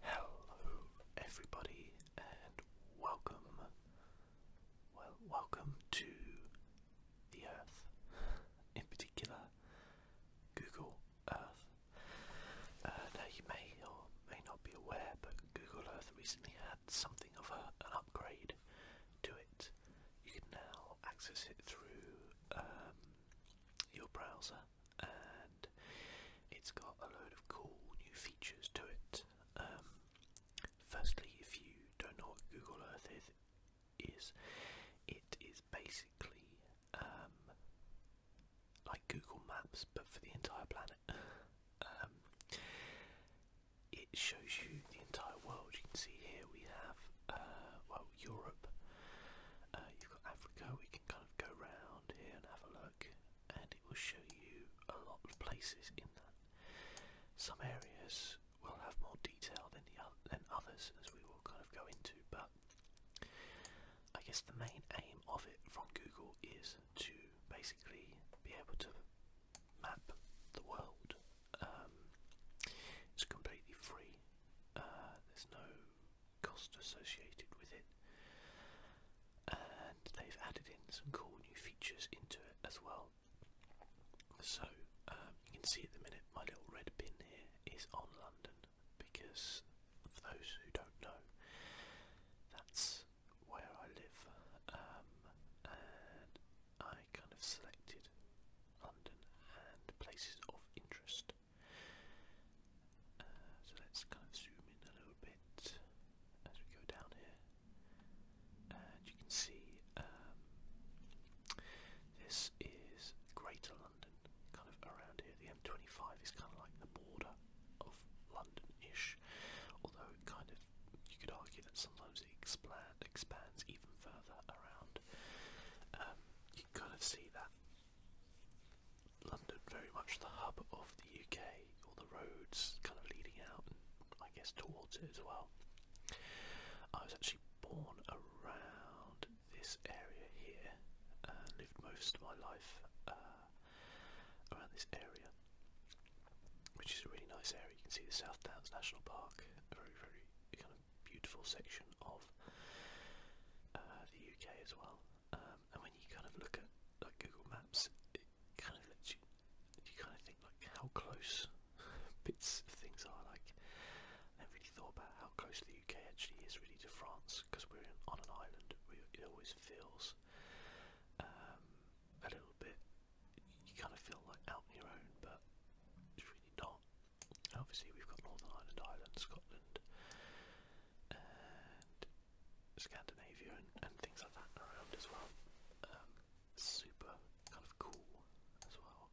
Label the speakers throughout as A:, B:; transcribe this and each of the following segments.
A: Hello, everybody, and welcome. Well, welcome to the Earth, in particular, Google Earth. Uh, now, you may or may not be aware, but Google Earth recently had something of a, an upgrade to it. You can now access it through
B: um, your browser and it's got a load of cool new features to it. Um, firstly, if you don't know what Google Earth is, is it is basically um, like Google Maps but for the entire planet. Um, it shows you the entire world. You can see here we have uh, well Europe. Uh, Africa, we can kind of go round here and have a look, and it will show you a lot of places in that. Some areas will have more detail than the than others, as we will kind of go into, but I guess the main aim of it from Google is to basically be able to map the world. Um, it's completely free. Uh, there's no cost associated with it. And they've added in some cool new features into it as well. So um, you can see at the minute my little red pin here is on London because
A: for those who don't know, that's where I live um, and I kind of
B: selected London and places of interest so let's kind of zoom in a little bit as we go down here, and you can see um, this is Greater London, kind of around
A: here. The M25 is kind of like the border of London-ish, although it kind of you could argue that sometimes it
B: expand, expands even further around. Um, you can kind of see that London very much the hub of the UK, all the roads kind of leading out I guess towards it as well. I was actually born around this area here and lived most of my life uh, around this area, which is a really nice area. You can see the South Downs National Park, a very, very kind of beautiful section of uh, the UK as well. Um, and when you kind of look at like Google Maps, it kind of lets you kind of think like how close bits of things are. Like I never really thought about how close the UK actually is really to France because we're on an island. We, it always feels um, a little
A: bit. You kind of feel like out on your own, but it's really not.
B: Obviously, we've got Northern Ireland, Ireland, Scotland, and Scandinavia, and, things like that around as well. Um, super kind of cool as well.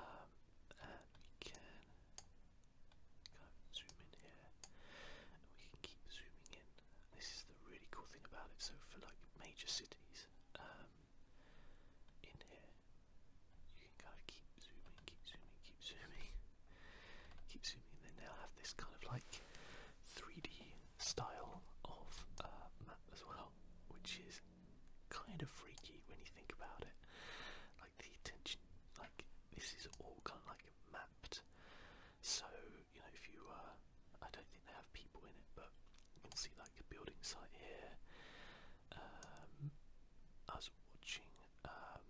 B: Um, and we can kind of zoom in here, and we can keep zooming in. This is the really cool thing about it. So for like major cities, um, in here you can kind of keep zooming, keep zooming, keep zooming, keep zooming, and they now have this kind of like 3D style of uh, map as well, which is kind of freaky when you think about it. Like the attention, like this is all kind of like mapped.
A: So you know, if you, uh, I don't think they have people in it, but you can see
B: like the building site here. Um, watching um,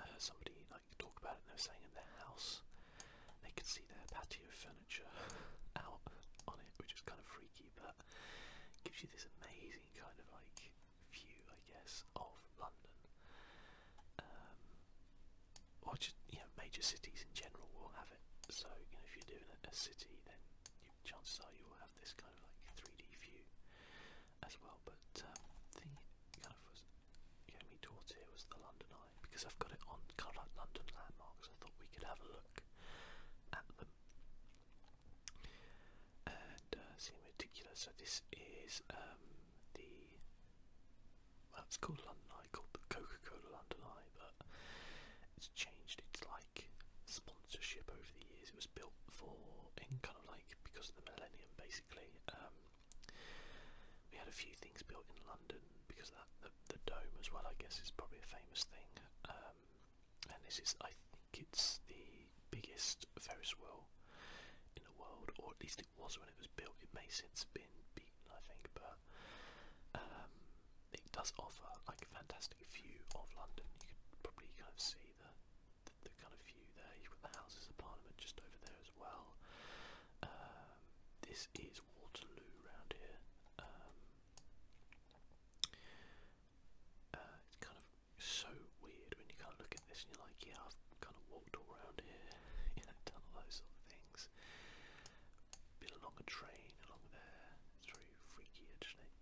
B: uh, somebody like talked about it and they were saying in their house
A: they could see their patio furniture out on it, which is kind of freaky,
B: but gives you this amazing kind of like view, I guess, of London. Um, or just you know, major cities in general will have it. So you know, if you're doing a, a city, then you, chances are you will have this kind of like 3D view as well. But um, the kind of was getting me towards here was the London Eye because I've got it on kind of like London landmarks. I thought we could have a look at them and uh, see in particular. So this is um, the well, it's called London Eye, called the Coca-Cola London Eye, but it's changed its sponsorship over the years. It was built for in kind of like because of the millennium basically. Um, we had a few things built in London because of that the, dome as well I guess is probably a famous thing. Um, and this is I think it's the biggest Ferris wheel in the world, or at least it was when it was built. It may since have been beaten, I think, but
A: um, it does offer like a fantastic view of London. You could probably kind of see see the, the, the kind of view there. You've got the Houses of Parliament just over there as well. Um, this is Waterloo
B: round here. Um, uh, it's kind of so weird when you kind of look at this and you're like, yeah, I've kind of walked all around here, you know, done all those sort of things. Been along a train along there. It's very freaky actually.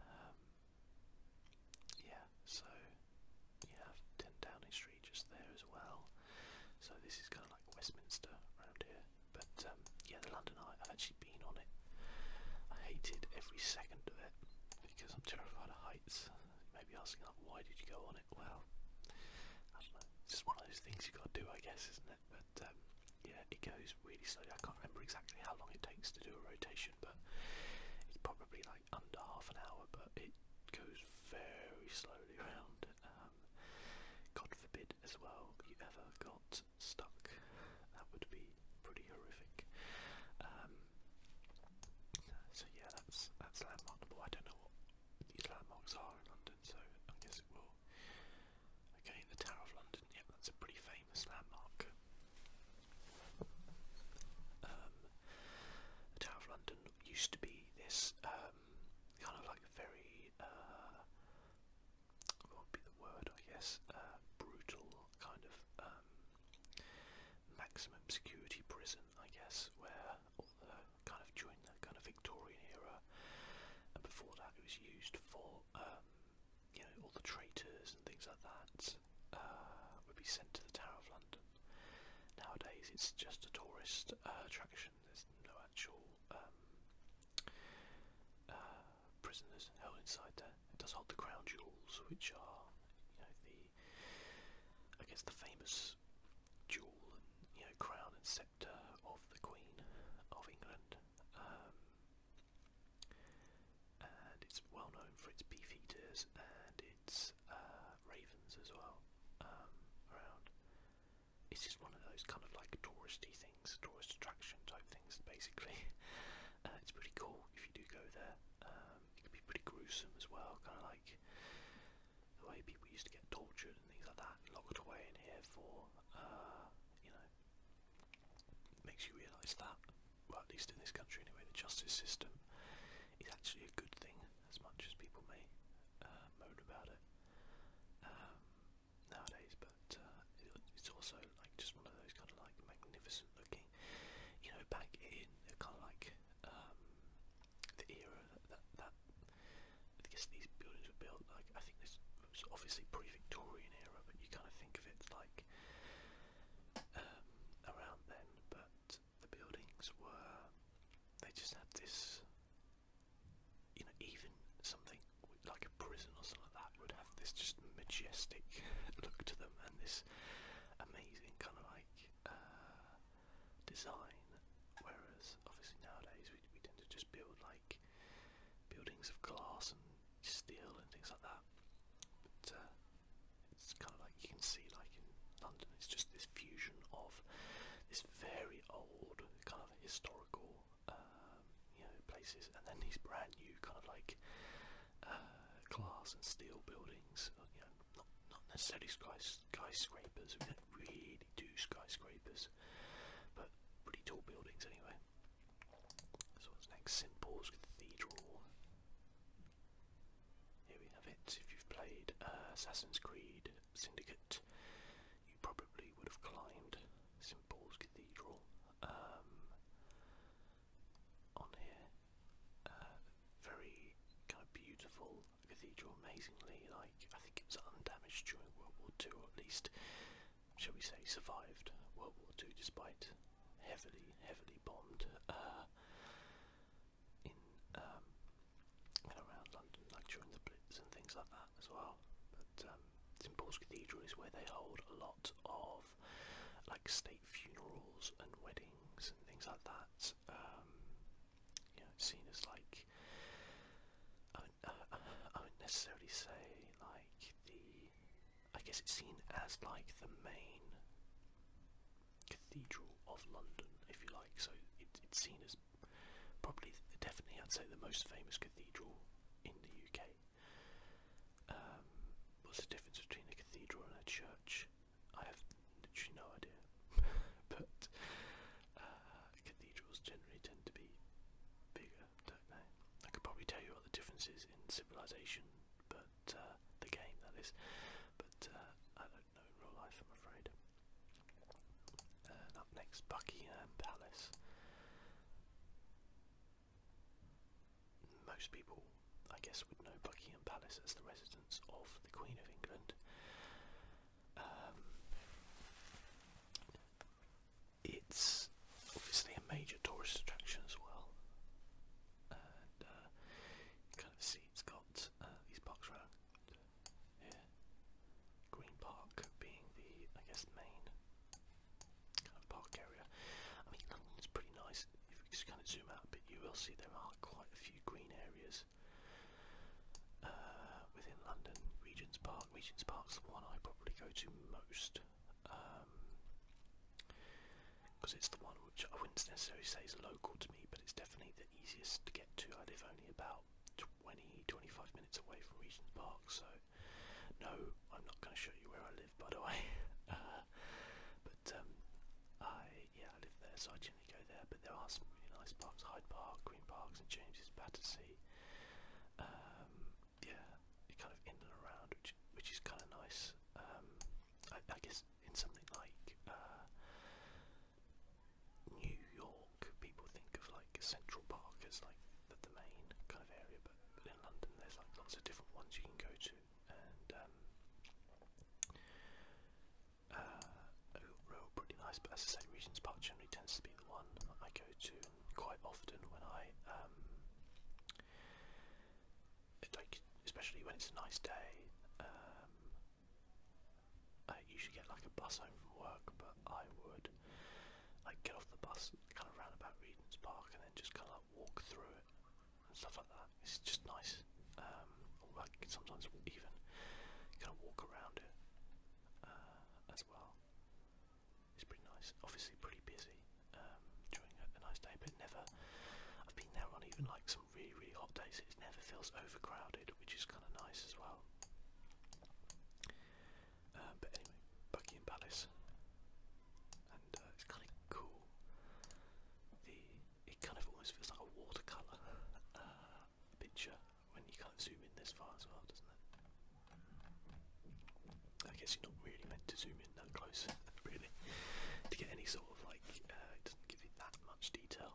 B: Um, yeah, so you have 10 Downing Street just there as well. So this is kind of like Westminster around here. But um, yeah, the London Eye, I've actually been on it. I hated every second of it because I'm terrified of heights. Maybe asking like, why did you go on it? Well, I don't know. It's just one of those things you got to do, I guess, isn't it? But um, yeah, it goes really slowly. I can't remember exactly how long it takes to do a rotation, but it's probably like under half an hour. But it goes very slowly around. Um, God forbid, as well, you ever got stuck. That would be pretty horrific. Um, so yeah, that's that's landmark number. I don't know what these landmarks are in London, so I guess it will. Okay, the Tower of London. Yep, that's a pretty famous famous landmark. Um, the Tower of London used to be this um, kind of like very, uh, what would be the word I guess, uh, brutal kind of um, maximum security prison I guess where all the kind of during the kind of Victorian era and before that it was used for um, you know, all the traitors and things like that uh, would be sent to the Tower of London. Nowadays, it's just a tourist uh, attraction. There's no actual um, uh, prisoners held inside there. It does hold the crown jewels, which are, you know, the I guess the famous jewel and you know crown and scepter of the Queen of England. Um, and it's well known
A: for its beefeaters and its uh, ravens as well um, around. It's just one of those kind of like
B: touristy things, tourist attraction type things basically. Uh, it's pretty cool if you do go there. Um, it can be pretty gruesome as well, kind of like the way people used to get tortured and things like that, locked away in here for uh, you know makes you realise that, well, at least in this country anyway, the justice
A: system is actually a good thing as much as people may uh, moan about it um, nowadays. But uh, it's also like just one of those kind of like
B: magnificent looking, you know, back in kind of like um, the era that that I guess these buildings were built. Like I think this was obviously pre-Victorian era, but you kind of think of it like um, around then, but the buildings were, they just had this, you know, even something like a prison or something like that would have this just majestic look to them and this amazing kind of like uh, design. Whereas obviously nowadays we, we tend to just build like buildings of glass and steel and things like that. But uh, it's kind of like you can see, like in London, it's just this fusion of this very old kind of historical, um, you know, places, and then these brand new kind of like uh, glass and steel buildings. Uh, you know, not not necessarily skys skyscrapers. We don't really do skyscrapers, but pretty tall buildings anyway. So what's next? St Paul's Cathedral. Here we have it. If you've played uh, Assassin's Creed Syndicate, you probably would have climbed St Paul's Cathedral um, on here. Uh, very kind of beautiful
A: cathedral, amazingly like I think it was undamaged during World War Two, at least shall we say, survived World War II
B: despite heavily, heavily bombed uh, in um, around London, like during the Blitz and things like that as well. But um, St Paul's Cathedral is where they hold a lot of like state funerals and weddings and things like that. Um, seen as like I would, uh, necessarily say like the I guess it's seen as like the main cathedral of London, if you like. So it's seen as probably, definitely, I'd say the most famous cathedral in the UK. Um, what's the difference between a cathedral and a church? I have literally no idea, but uh, cathedrals generally tend to be bigger I could probably tell you what the difference is in civilization, but uh, the game that is. But uh, I don't know in real life, I'm afraid. up next, Buckingham Palace. Most people, I guess, would know Buckingham Palace as the residence of the Queen of England. Um, it's obviously a major tourist attraction as well. And uh, you kind of see it's got uh, these parks around here. Green Park being the, I guess, main kind of park area. I mean, London's pretty nice. If we just kind of zoom out a bit, you will see there are quite a few green areas uh,
A: within London. Regent's Park. Regent's Park's the one I probably go to most
B: because um, it's the one which I wouldn't necessarily say is local to me, but it's definitely the easiest to get to. I live only about 20 25 minutes away from Regent's Park, so no, I'm not going to show you where I live by the way. uh, but um, I yeah, I live there, so I generally go there. But there are some really nice parks: Hyde Park, Green Parks, and James's Battersea. Um, yeah, you're kind of in and around, which which is kind of nice. Um, I, I guess in something like uh, New York, people think
A: of like Central Park as like the, the main kind of area, but, but in London there's like lots of different ones you can go to, and um, uh, are all pretty nice. But as I say, Regent's
B: Park generally tends to be the one I go to quite often when I um, like especially when it's a nice day. Um, I usually get like a bus home from work, but I would like get off the bus kind of round about Regent's Park and then just kind of like walk through it and stuff like that. It's just nice. Um, like sometimes even kind of walk around it uh, as well. It's pretty nice. Obviously, pretty busy um, during a, nice day, but never. I've been there on even like some really really hot days. It never feels overcrowded, which is kind of nice as well. Um, but anyway, Buckingham Palace, and uh, it's kind of cool. The it kind of almost feels like a watercolor uh, picture when you kind of zoom in this far as well, doesn't it? I guess you're not really meant to zoom in that close, really, to get any sort of like. Uh, it doesn't give you that much detail.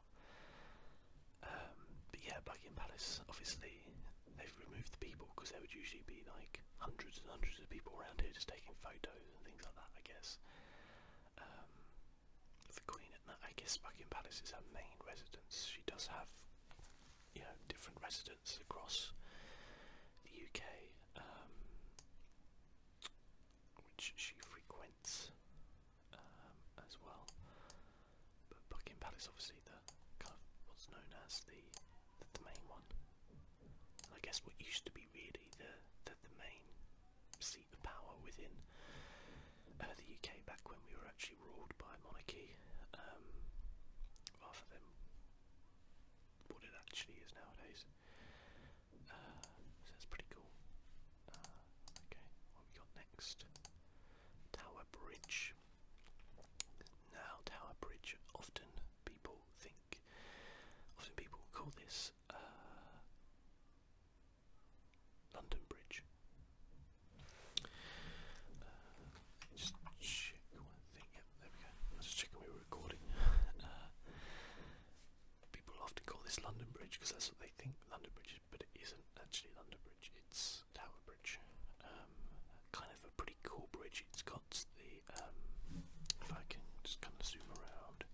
B: Um, but yeah, Buckingham Palace. Obviously, they've removed the people because there would usually be like hundreds and hundreds of people around here just taking photos and things like that. I guess. Um, the Queen, I guess Buckingham Palace is her main residence. She does have, you know, different residences across the UK um, which she frequents um, as well. But Buckingham Palace, obviously, the kind of what's known as the the, the main one, and I guess what used to be really the the, the main seat of power within uh, the UK back when we were actually ruled by a monarchy, um, rather than what it actually is nowadays. Uh, pretty cool. Uh, okay, what we got next? Tower Bridge. Now, Tower Bridge. Often people think, often people call this uh, London Bridge. Uh, thing. there we go. I was just we were recording. Uh, people often call this London Bridge because that's what they think London Bridge is, but it isn't actually London Bridge. It's Tower Bridge. Um, kind of a pretty cool bridge. It's got the. Um, if I can just kind of zoom around,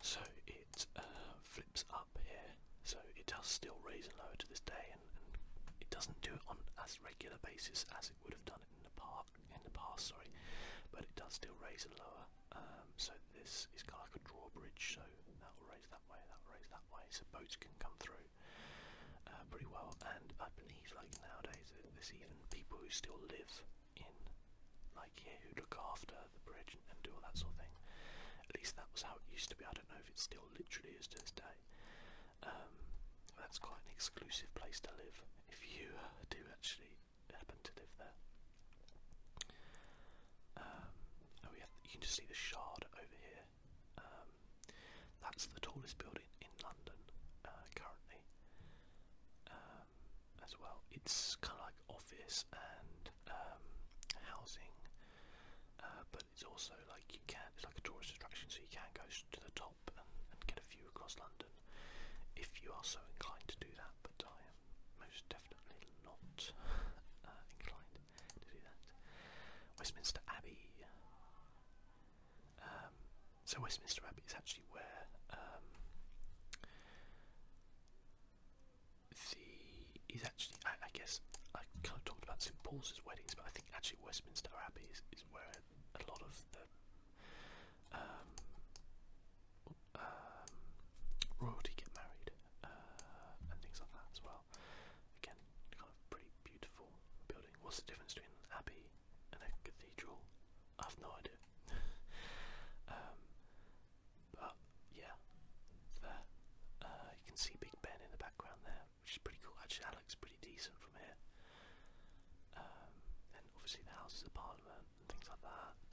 B: so it uh, flips up here. So it does still raise and lower to this day, and,
A: it doesn't do it on as regular basis as it would have done it in the, past in the past, sorry, but it does still raise and lower. Um, so
B: this is kind of like a drawbridge, so that will raise that way, that will raise that way, so boats can come through uh, pretty well. And I believe, like nowadays, there's even people who still live in, like here, who look after the bridge and, do all that sort of thing. At least that was how it used to be. I don't know if it still literally is to this day. Um, that's quite an exclusive place to live if you uh, do actually happen to live there. Um, oh yeah, you can just see the Shard over here. Um, that's the tallest building in London uh, currently. Um, as well, it's kind of like office and um, housing, uh, but it's also like you can. It's like a tourist attraction, so you can go to the top and, get a few across London if you are so inclined to do that, but I am most definitely not uh, inclined to do that. Westminster Abbey. Um, so Westminster Abbey is actually where um, the is actually I, I guess I kind of talked about St Paul's weddings, but I think actually Westminster Abbey is, is where a lot of the um, um, royalty get married uh, and things like that as well. Again, kind of pretty beautiful building. What's the difference between an abbey and a cathedral? I have no idea. Um, but yeah, there. Uh, you can see Big Ben in the background there, which is pretty cool. Actually, that looks decent from here. Um, and obviously the Houses of Parliament and things like that.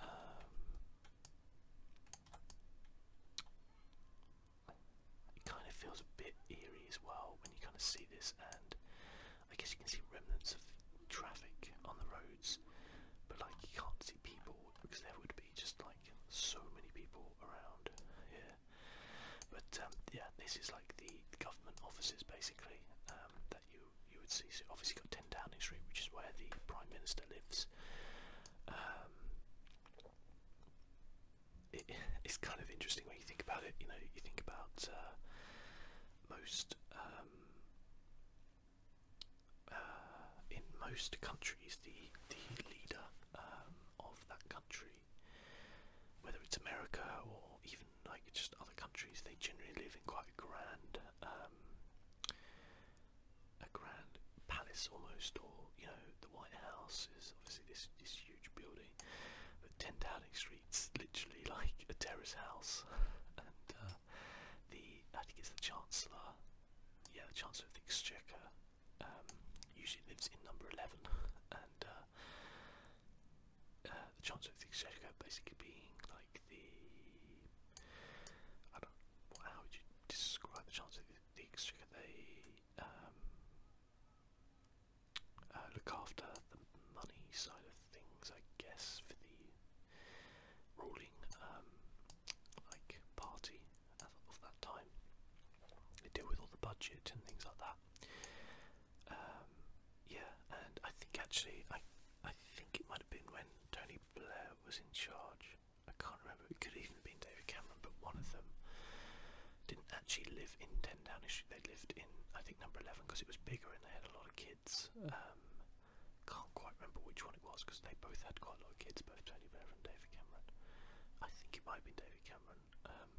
B: Um, it kind of feels a bit eerie as well when you kind of see this, and I guess you can see remnants of traffic on the roads, but like you can't see people because there would be just like so many people around here. But um, yeah, this is like the government offices basically um, that you you would see. obviously, got Ten Downing Street, which is where the Prime Minister lives. Um, it's kind of interesting when you think about it. You know, you think about uh, most uh, in most countries, the the leader of that country
A: whether it's America or even like just other countries, they generally live in
B: quite a grand, um, a grand palace almost, or you know, the White House is obviously this this huge building, but Ten Downing Street's literally like a terrace house, and uh, the I think it's the Chancellor, yeah, the Chancellor of the Exchequer. Um, usually lives in number 11 uh, the chance of the Exchequer basically being like the I don't how would you describe the chance of the, Exchequer they um, uh, look after the money side of things I guess for the ruling um, like party of that time. They deal with all the budget and things like that. Um, yeah, and I think actually, I, I think it might have been when Tony Blair was in charge. I can't remember. It could have even been David Cameron, but one of them didn't actually live in Ten Downing Street. They lived in, I think, number eleven because it was bigger and they had a lot of kids. Um, can't quite remember which one it was because they both had quite a lot of kids, both Tony Blair and David Cameron. I think it might have been David Cameron. Um,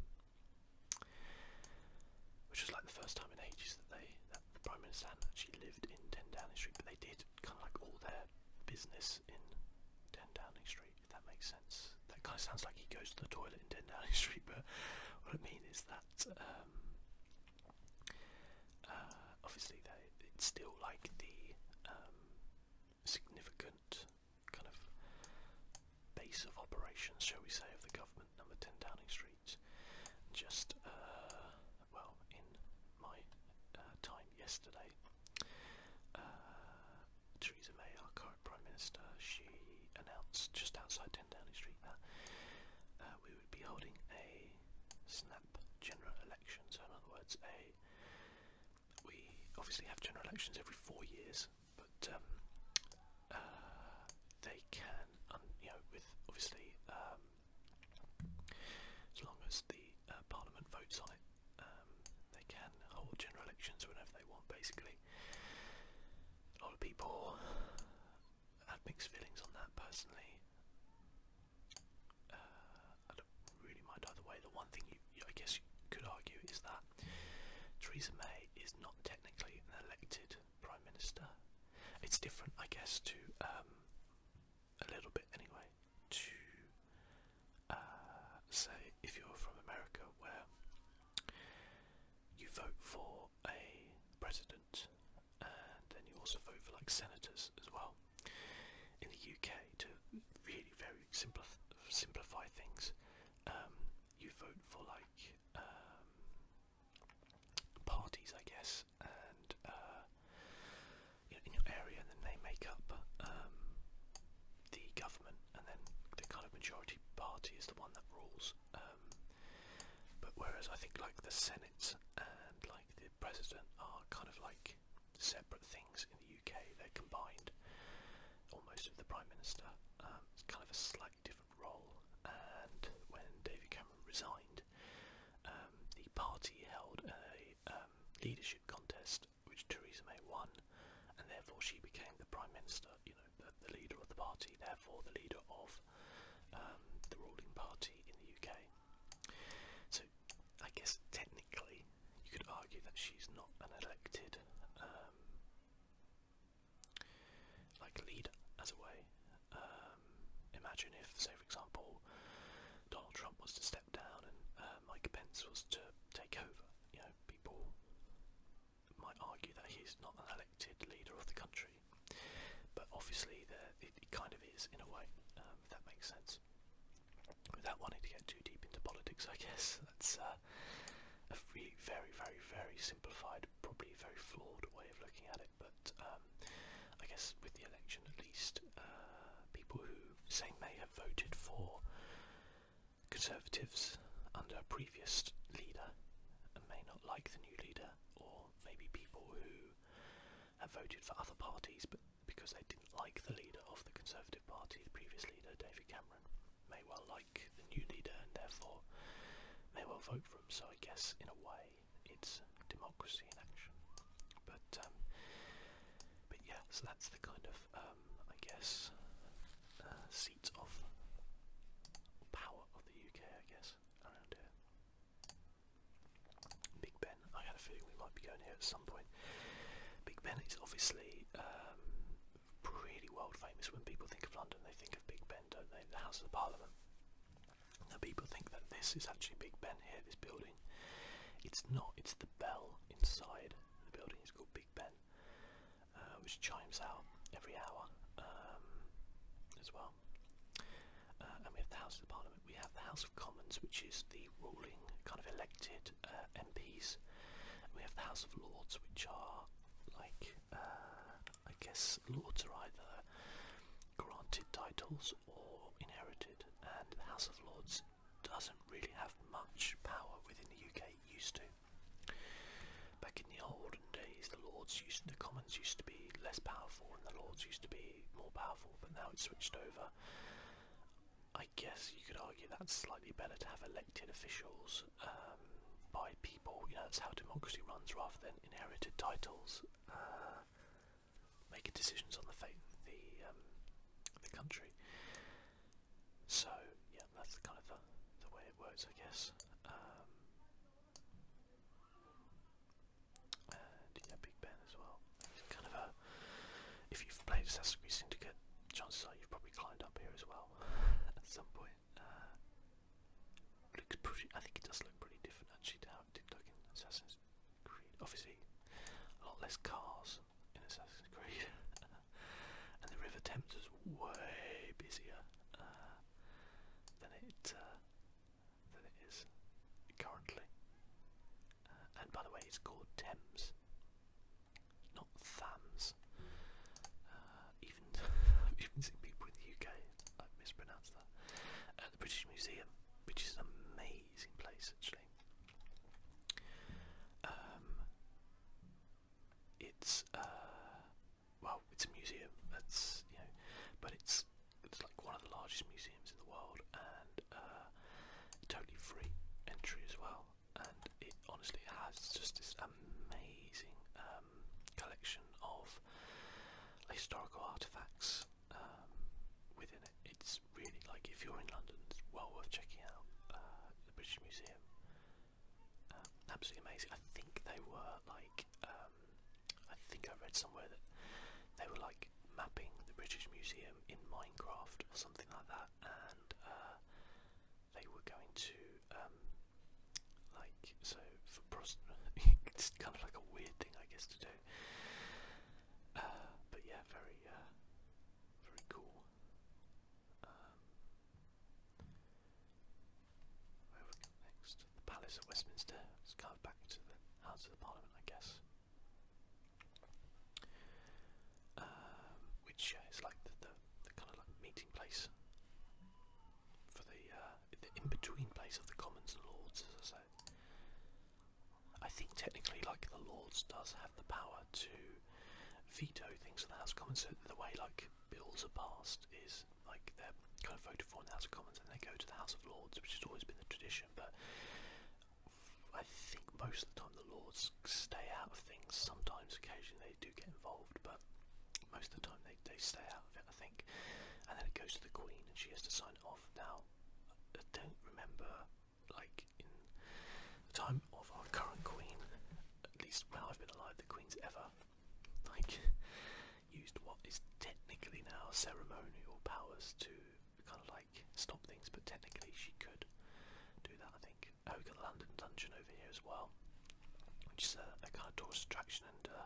B: which was like the first time in ages that they that the Prime Minister actually lived in 10 Downing Street, but they did kind of like all their business in 10 Downing Street, if that makes sense. That kind of sounds like he goes to the toilet in 10 Downing Street, but what I mean is that um, uh, obviously it's still like the um, significant kind of base of operations, shall we say, of the government, number 10 Downing Street. Just, uh, well, in my uh, time yesterday, uh, Theresa May, our current Prime Minister, she announced just outside 10 Downing Street that uh, we would be holding a snap general election. So, in other words, a we obviously have general elections every four years, things, but um, uh, they can, un um, you know, with obviously, um, as long as the uh, Parliament votes on it, um, they can hold general elections whenever they want. Basically, a lot of people had mixed feelings on that personally. Uh, I don't really mind either way. The one thing you, you I guess, you could argue is that that Theresa May is not technically an elected prime minister. It's different, I guess, to um, a little bit anyway. To uh, say if you're from America, where you vote for a president, and then you also vote for like senators as well. In the
A: UK, to really very simplify things, um, you vote for like um, parties, I guess, and uh, you know, in your area, and then they make up um, the government, and then the kind of majority
B: party is the one that rules. Um, but whereas I think like the Senate and like the President are kind of like separate things in the UK, they're combined. Almost with the Prime Minister, um, it's kind of a sla slightly different role,
A: and when David Cameron resigned, um, the party held
B: a um, leadership contest which Theresa May won, and therefore she became the Prime Minister, you know, the, the leader of the party, therefore the leader of um, the ruling party in the UK. So I guess technically you could argue that she's not an elected um, like lead as a way. Um, imagine if, say for example, Donald Trump was to step down and uh, Mike Pence was to take over. You know, people might argue that he's not an elected leader of the country, but obviously there, it, it kind of is in a way. Um, if that makes sense. Without wanting to get too deep into politics, I guess that's uh, a really very, very, very simplified, probably very flawed way of looking at it. But um, I guess with the election, at least, uh, people who say may have voted for Conservatives under a previous leader and may not like the new leader, or maybe people who have voted for other parties but because they didn't like the leader of the Conservative Party, the previous leader, David Cameron. Cameron may well like the new leader and therefore may well vote for him. So I guess in a way it's democracy in action. But um, but yeah, so that's the kind of um, I guess uh, seat of power of the UK. I guess around here.
A: Big Ben. I had a feeling we might be going here at some point. Big Ben is obviously um,
B: really world famous. When people think of London, they think of Big Ben, don't they? The House of the Parliament. Now people think that this is actually Big Ben here, this building. It's not. It's the bell inside the building. It's called Big Ben, uh, which chimes out every hour um, as well. Uh, and we have the House of the Parliament. We have the House of Commons, which is the ruling kind of elected uh, MPs. And we have the House of Lords, which are got like uh, I guess lords are either granted titles or inherited, and the House of Lords doesn't really have much power within the UK. It used to. Back in the olden days, the lords used the commons used to be less powerful, and the lords used to be more powerful. But now it's switched over. I guess you could argue that's slightly better to have elected officials um, by people. You know, that's how democracy runs, rather than inherited titles, uh, making decisions on the fate of the um, the country. So yeah, that's the kind of the, the way it works, I guess. Um, and yeah, Big Ben as well. It's kind of a if you've played Assassin's Creed Syndicate, chances are you've probably climbed up here as well at some point. Uh, looks pretty. I think it does look pretty different actually to how it Obviously, a lot less cars in Assassin's Creed, and the River Thames is way busier uh, than it uh, than it is currently. and by the way, it's called Thames not uh, even even seen people in the UK like mispronounce that. At uh, the British Museum, which is an amazing place actually. Um, it's uh, well, it's a museum. That's you know, but it's it's like one of the largest museums in the world and uh, totally free entry as well. And it honestly has just this amazing. Um, collection of historical artifacts um, within it. It's really like if you're in London, it's well worth checking out uh, the British Museum. Um, absolutely amazing. I think they were like I think I read somewhere that they were like mapping the British Museum in Minecraft or something like that, and uh, they were going to um, like so for prost it's kind of like a weird thing I guess to do. Uh, but yeah, very uh, very cool. Um, where next? The Palace at Westminster. It's kind of back to the House of Parliament, I guess. Um, which is like the, the kind of like meeting place for the uh, the in between place of the Commons and Lords, as I say. I think technically, like the Lords, does have the power to veto things in the House of Commons. So the way like bills are passed is like they're kind of voted for in the House of Commons, and they go to the House of Lords, which has always been the tradition. But I think most of the time the Lords stay out of things. Sometimes, occasionally, they do do get involved, but most of the time they, they stay out of it, I think. And then it goes to the Queen and she has to sign it off. Now, I don't remember, like, in the time of our current Queen, at least when I've been alive, the Queen's ever, like, used what is technically now ceremonial powers to kind of like stop things, but technically she could do that, I think we got the London Dungeon over here as well, which is a, kind of tourist attraction. And uh,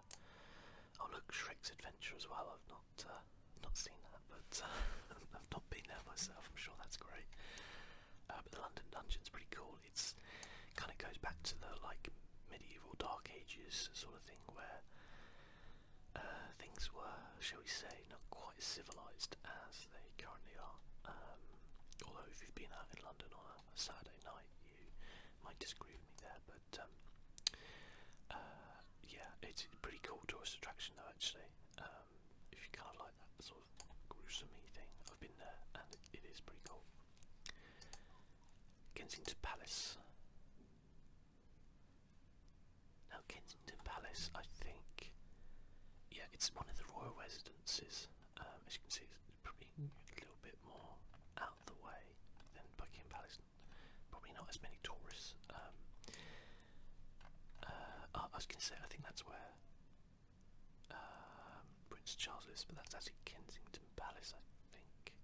B: oh, look, Shrek's Adventure as well. I've not uh, not seen that, but uh, I've not been there myself. I'm sure that's great. Uh, the London Dungeon's pretty cool. It's kind of goes back to the like medieval Dark Ages sort of thing where. things were, shall we say, not quite as civilised as they currently are. Um, although, if you've been out in London on a Saturday night, you might disagree with me there, but um, uh, yeah, it's a pretty cool tourist attraction though actually. Um, if you kind of like that sort of gruesomey thing, I've been there and it is pretty cool. Kensington Palace. Now Kensington Palace, I think, yeah, it's one of the royal residences. Um, as you can see, it's probably a little bit more
A: out of the way than Buckingham Palace. Probably not as many tourists. Um, uh, I was going to say, I think that's where um, Prince Charles is,
B: but that's actually Kensington Palace, I think.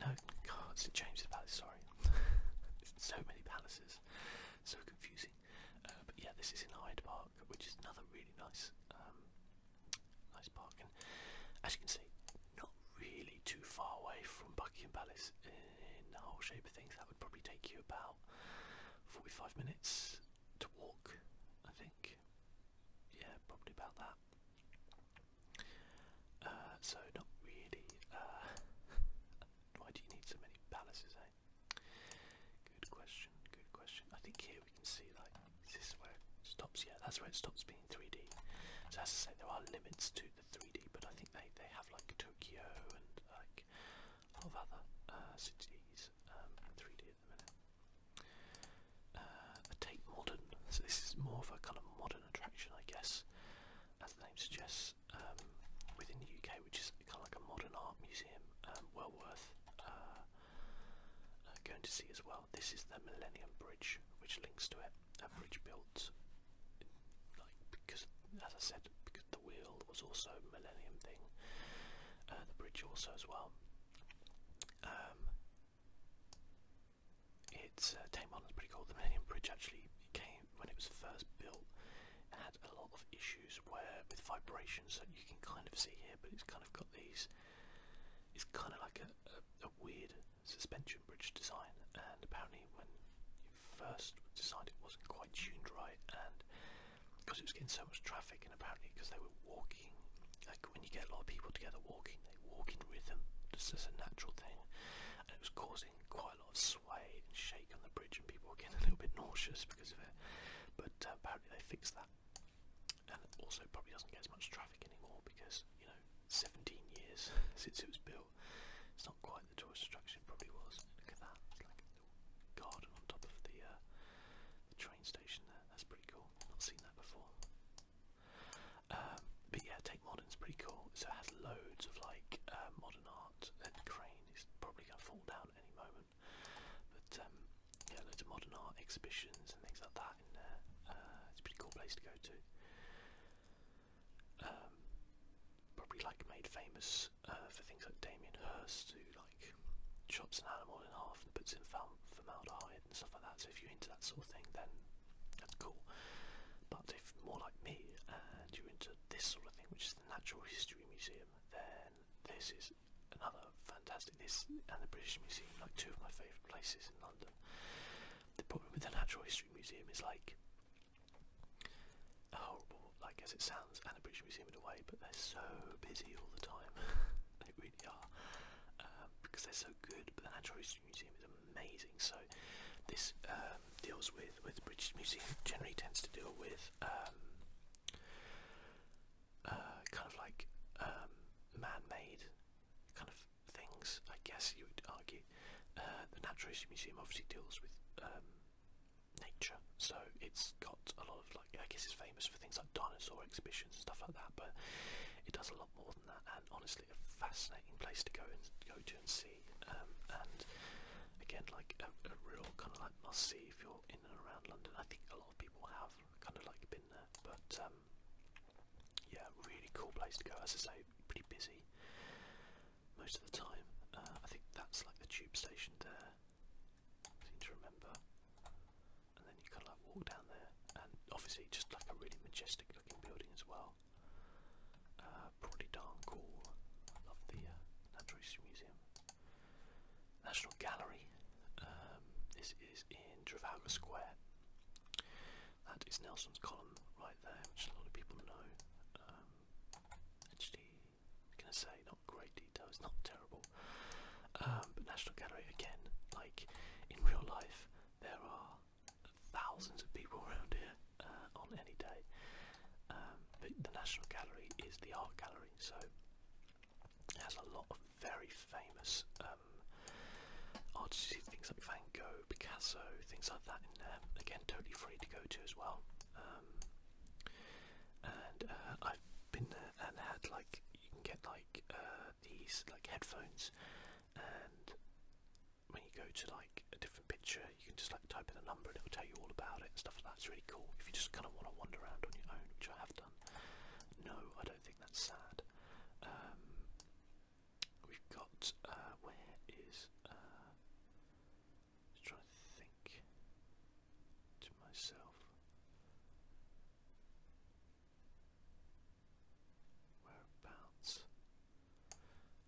B: No, God, St James's Palace. Sorry, so many palaces, so confusing. Uh, but yeah, this is Hyde Park, which is another really nice Nice parking. As you can see, not really too far away from Buckingham Palace in the whole shape of things. That would probably take you about 45 minutes to walk, I think. Yeah, probably about that. Uh, so not really. Uh, why do you need so many palaces, eh? Good question. Good question. I think here we can see like is where it stops? Yeah, that's where it stops being 3D. So as I say, there are limits to the 3D, but I think they they have like Tokyo and like a lot of other uh, cities um, in 3D at the minute. Uh, I modern. So this is more of a kind of modern attraction, I guess, as the name suggests, um, within the UK, which is kind of like a modern art museum, um, well worth. Uh, uh, going to see as well. This is the Millennium Bridge, which links to it. A bridge built, like because, as I said, because the wheel was also a Millennium thing. Uh, the bridge also as well. Um,
A: it's uh, Tame Island's pretty cool. The Millennium Bridge actually came when it was
B: first built. It had a lot of issues where with vibrations that you can kind of see here, but it's kind of got these it's kind of like a, a, a weird suspension bridge design, and apparently when it first decided it wasn't quite tuned right, and because it was getting so much traffic, and apparently because they were walking, like when you get a lot of people together walking, they walk in rhythm, just as a natural thing, and it was causing quite a lot of sway and shake on the bridge, and people were getting a little bit nauseous because of it. But uh, apparently they fixed that and also probably doesn't get as much traffic anymore because you know 17 years since it was built. It's not quite the tourist attraction it probably was. Look at that, it's like a little garden on top of the, uh, the train station there. That's pretty cool. Not seen that before. Um, but yeah, Tate Modern's pretty cool. So it has loads of like uh, modern art. And the crane is probably gonna fall down at any moment. But um, yeah, loads of modern art exhibitions and things like that in there. Uh, it's a pretty cool place to go to. Um, probably like made famous uh, for things like Damien Hirst, who like chops an animal in half and puts in formaldehyde and stuff like that. So if you're into that sort of thing, then that's cool. But if more like me and you're into this sort of thing, which is the Natural History Museum, then this is another fantastic this and the British Museum, like two of my favourite places in London. The problem with the Natural History Museum is like horrible, like as it sounds, and the British Museum in a way, but they're so busy all the time. they really are. Um, because they're so good, but the Natural History Museum is amazing. So this um, deals with with the British Museum generally tends to deal with um, uh, kind of like um, man-made kind of things, I guess you would argue. Uh, the Natural History Museum obviously deals with um, nature, so it's got a lot of like I guess it's famous for things like dinosaur exhibitions and stuff like that, but it does a lot more than that. And honestly, a fascinating place to go and go to and see. Um, and again, like a, a real kind of like must see
A: if you're in and around London. I think a lot of people have kind of like been there, but um, yeah, really cool place to go. As I say,
B: pretty busy most of the time. Uh, I think that's like the tube station there. I seem to remember, and then you kind of like walk down there, and obviously just like a really majestic looking building as well. Uh, pretty darn cool. I love the uh, Natural History Museum. National Gallery. Um, this is in Trafalgar Square. That is Nelson's column right there, which a lot of people know. Um, gonna say not great detail. It's not terrible. Um, but National Gallery again, like in real life, there are thousands of people around here uh, on any day. Um, but the National Gallery is the art gallery, so it has a lot of very famous um, artists, things like Van Gogh, Picasso, things like that in there. Again, totally free to go to as well. Um, and uh, I've been there and had like you can get like uh, these like headphones, and when you go to like a different picture, you can just like type in a number and it will tell you all about it and stuff like that. It's really cool if you just kind of want to wander around on your own, which I have no, I don't think that's sad. Um, we've got uh, where is uh, just trying to think to myself. Whereabouts?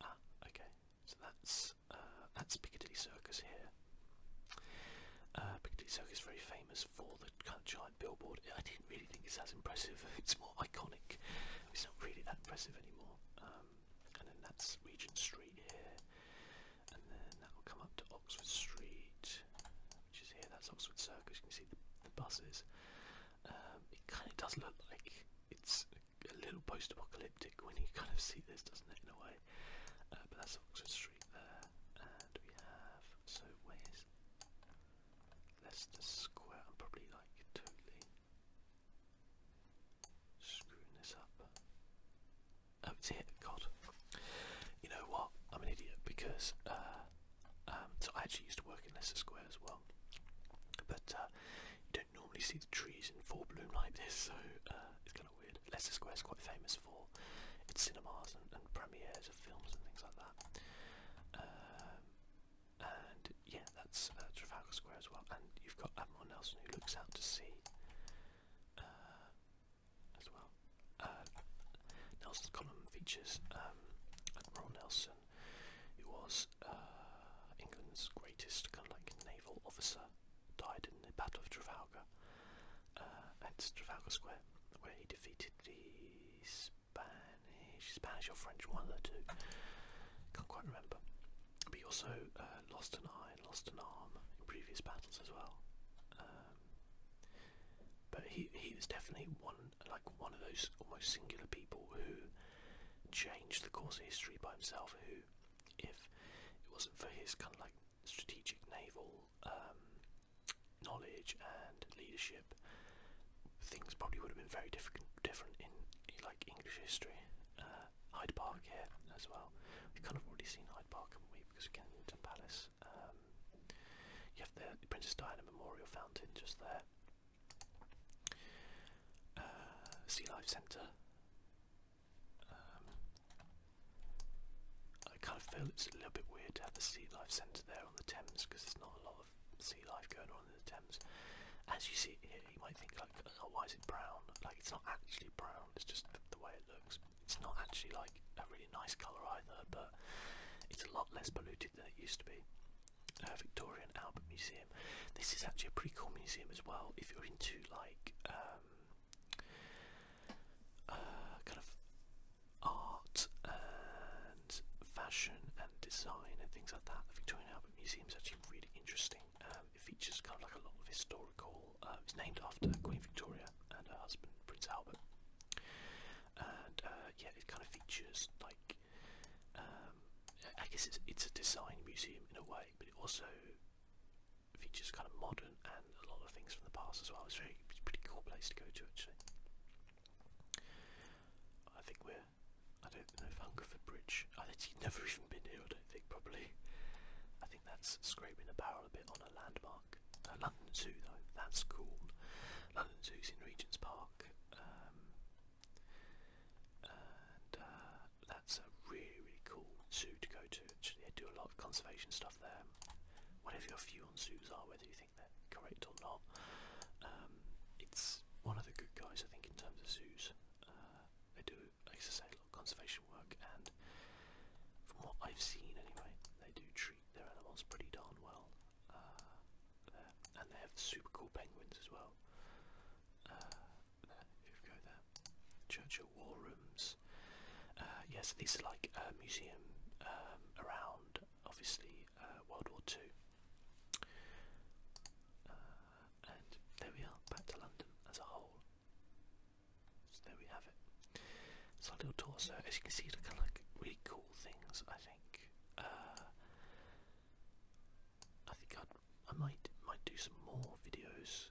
B: Ah, okay. So that's uh, that's Piccadilly Circus here. Uh, Piccadilly Circus is very famous for the kind Billboard. I didn't really think it's as impressive. It's more iconic. It's not really that impressive anymore. Um, and then that's Regent Street here, and then that will come up to Oxford Street, which is here. That's Oxford Circus. You can see the, buses. Um, it kind of does look like it's a little post-apocalyptic when you kind of see this, doesn't it? In a way, uh, but that's Oxford Street street there, and we have so where's Leicester Square? I'm probably like totally screwing this up. Oh, it's here. God, you know what? I'm an idiot because uh, um, so I actually used to work in Leicester Square as well, but uh, you don't normally see the trees in full bloom like this, so uh, it's kind of weird. Leicester Square is quite famous for cinemas and, premieres of films and things like that. Um, and yeah, that's uh, Trafalgar Square as well. And you've got Admiral Nelson who looks out to sea uh, as well. Uh, Nelson's column
A: features um, Admiral Nelson, who was uh, England's greatest
B: kind of like naval officer, died in the Battle of Trafalgar. Uh, and Trafalgar Square where he defeated the Spanish, Spanish or French, one of the two. Can't quite remember. But he also uh, lost an eye and lost an arm in previous battles as well. Um, but he he was definitely one like one of those almost singular people who changed the course of history by himself. Who, if it wasn't for his kind of like strategic naval um, knowledge and leadership, things probably would have been very different, different in, like English history. Uh, Hyde Park here as well. We've kind of already seen Hyde Park, we because we? Because again, Newton Palace. Um, you have the Princess Diana Memorial Fountain just there. Uh, sea Life Centre.
A: Um, I kind of feel it's a little bit weird to have the Sea Life Centre there on the Thames
B: because there's not a lot of sea life going on in the Thames. As you see it here, you might think like, oh, why is it brown? Like it's not actually brown, it's just the way it looks. It's not actually like a really nice colour either, but it's a lot less polluted than it used to be. Uh, Victorian Albert Museum. This is actually a pretty cool museum as well if you're into like um, uh, kind of art and fashion and design and things like that. The Victorian Albert Museum is actually really interesting. Um, it features kind of like a lot of historical. Uh, it's named after Queen Victoria and her husband Prince Albert, and uh, yeah, it kind of features like um, I guess it's it's a design museum in a way, but it also features kind of modern a lot of things from the past as well. It's a pretty cool place to go to actually. I think we're I don't know if Hungerford Bridge. I think he'd never even been here, I don't think probably. I think that's scraping the barrel a bit on a landmark. Uh, London Zoo though, that's cool. London Zoo's in Regent's Park. Um, and uh, that's a really really cool zoo to go to actually. They do a lot of conservation stuff there. Whatever your view on zoos are, whether you think think they're correct or not. Um, it's one of the good guys, I think, in terms of zoos. Uh, they do, like I say, a lot of conservation work, and from what I've seen anyway, they do treat their animals pretty darn well. Uh, and they have super cool penguins as well. Uh, if you go there, Churchill War Rooms uh, yes, these are like a uh, museum um, around, obviously, uh, World War Two. Uh, and there we are, back to London as a whole. So there we have it. It's our little torso. As you can see, they like really cool things. I think. I think i I might might do some more videos.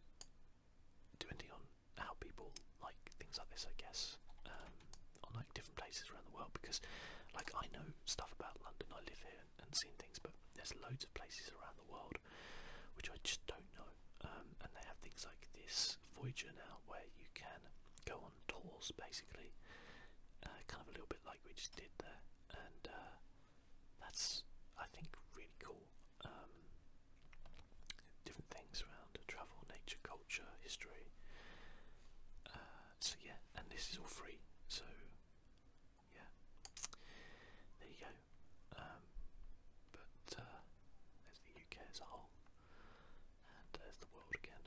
B: Depending on how people like things like this, I guess, um, on like different places around the world. Because, like, I know stuff about London. I live here and, and seen things, but there's loads of places around the world which I just don't know. Um, and they have things like this Voyager now, where you can go on tours, basically, uh, kind of a little bit like we just did there, and uh, that's I think really cool. Um, different things around travel, nature, culture history. Uh, so yeah, and this is all free. So yeah, there you go. Um, but uh, the UK as a whole, and there's the world again.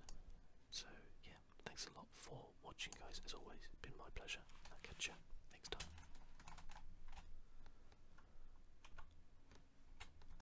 B: So yeah, thanks a lot for watching, guys. As always, it's been my pleasure. I'll catch you next time.